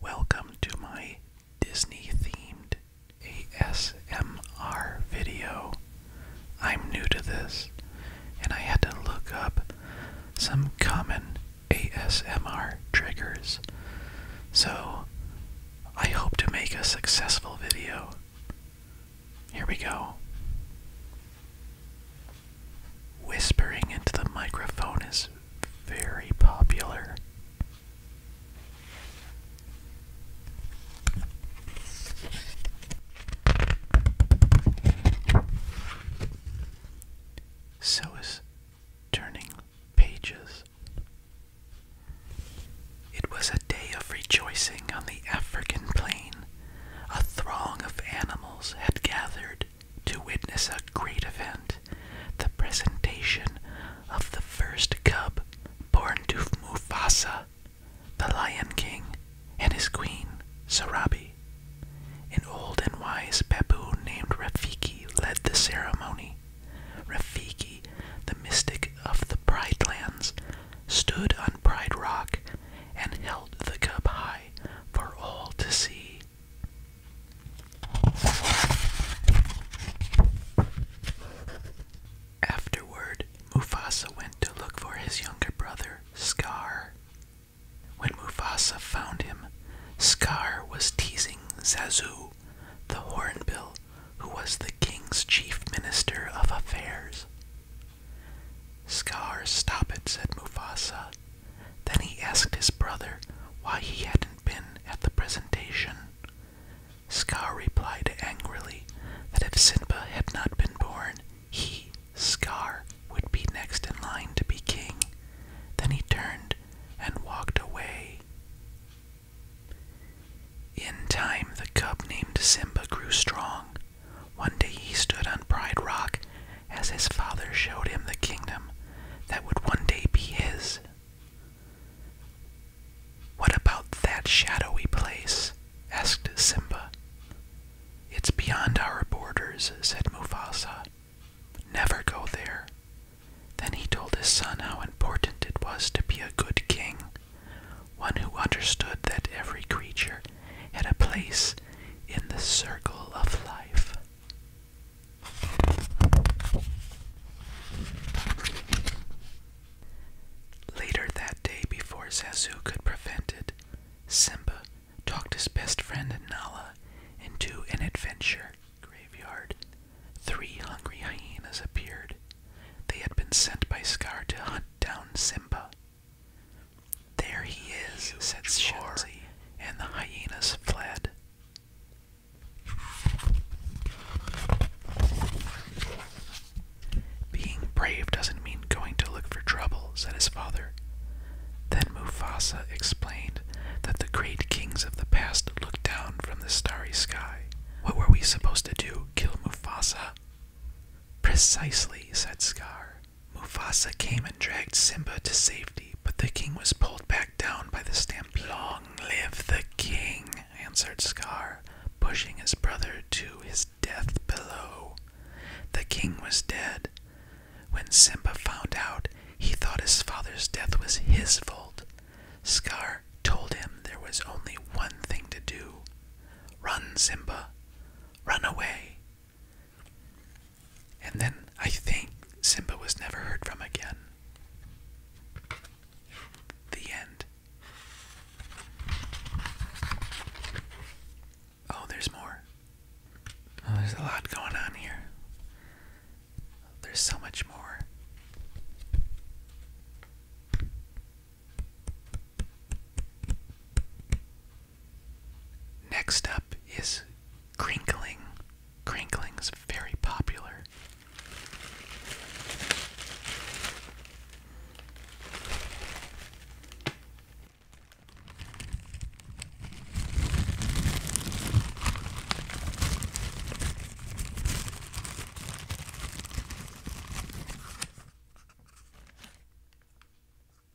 Welcome to my Disney themed ASMR video. I'm new to this and I had to look up some common ASMR triggers. So I hope to make a successful video. Here we go. Whispering into the microphone is very popular. So is turning pages. It was a day of rejoicing on the African plain a throng of animals had gathered to witness a great event the presentation of the first cub born to Mufasa, the Lion King, and his queen, Sarabi. An old and wise baboon named Rafiki led the ceremony. Rafiki, the mystic of the Pride Lands, stood on Pride Rock and held the cup high for all to see. Afterward, Mufasa went to look for his younger brother, Scar. When Mufasa found him, Scar was teasing Zazu, the hornbill, who was the king's chief minister of affairs. Scar, stop it, said Mufasa. Then he asked his brother why he hadn't been at the presentation. Scar replied angrily that if Simba had not been born, he, Scar, would be next in line to be king. Then he turned and walked away. In time, the cub named Simba grew strong one day he stood on Pride Rock as his father showed him the kingdom that would one day be his. What about that shadowy place? asked Simba. It's beyond our borders, said Mufasa. Never go there. Then he told his son how important it was to be a good king, one who understood that every creature had a place in the circle of life. Later that day, before Zazu could prevent it, Simba talked his best friend Nala into an adventure graveyard. Three hungry hyenas appeared. They had been sent by Scar to hunt down Simba. There he is, said Shenzi, and the hyenas fled. Being brave doesn't mean going to look for trouble, said his father. Then Mufasa explained that the great kings of the past looked down from the starry sky. What were we supposed to do? Kill Mufasa? Precisely, said Scar. Mufasa came and dragged Simba to safety, but the king was pulled back down by the stampede. Long live the king, answered Scar, pushing his brother to his death below. The king was dead. When Simba found out, he thought his father's death was his fault. Scar told him there was only one thing to do run, Simba, run away. And then I think Simba was never heard from again. The end. Oh, there's more. Oh, there's a lot going on here. There's so much more. Next up is crinkling. Crinkling is very popular.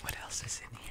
What else is in here?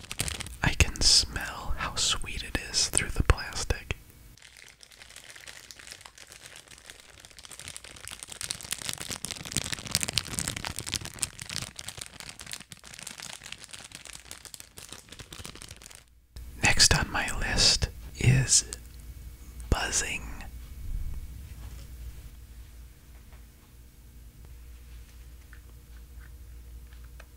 I can smell how sweet it is through the plastic. Next on my list is buzzing.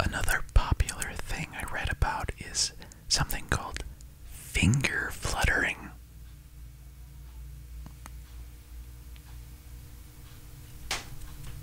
Another popular thing I read about is something called finger fluttering.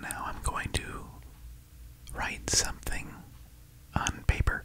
Now I'm going to write something on paper.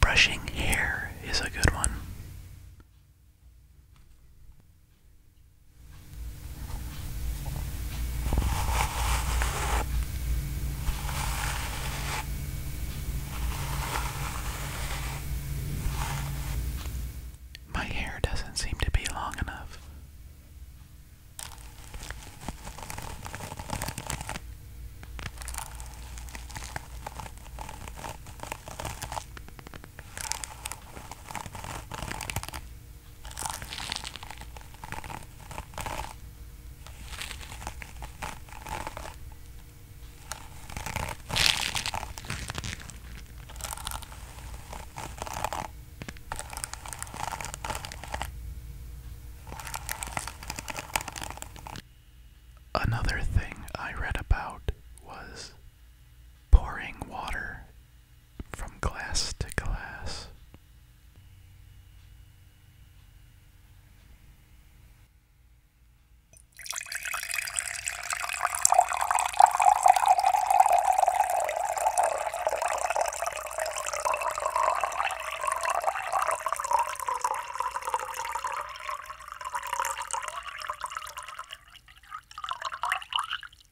Brushing hair is a good one. My hair doesn't seem to be long enough. Another thing I read about was pouring water from glass to glass.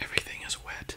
Everything is wet.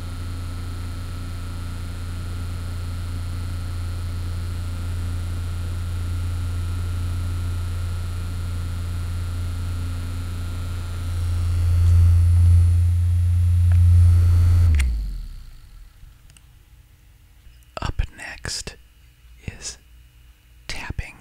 Up next is tapping.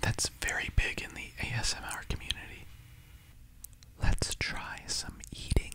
That's very big in the ASMR community. Let's try some eating.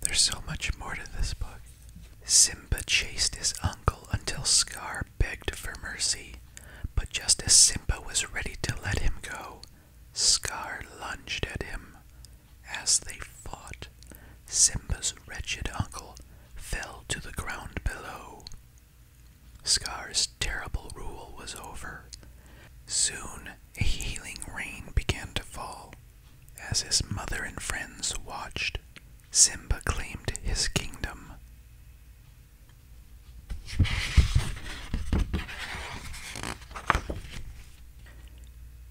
There's so much more to this book. Simba chased his uncle until Scar begged for mercy, but just as Simba was ready to let him go, Scar lunged at him. As they fought, Simba's wretched uncle fell to the ground below. Scar's terrible rule was over. Soon a healing rain began to fall as his mother and friends watched Simba claimed his kingdom.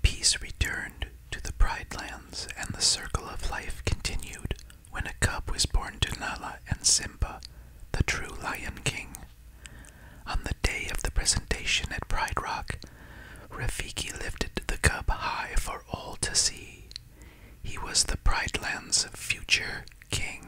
Peace returned to the Pride Lands, and the circle of life continued when a cub was born to Nala and Simba, the true Lion King. On the day of the presentation at Pride Rock, Rafiki lifted the cub high for all to see. He was the Pride Land's future king.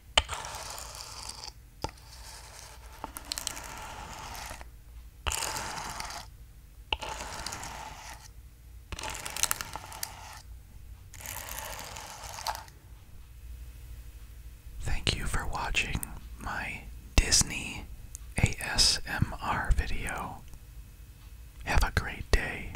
Thank you for watching my Disney ASMR video. Have a great day.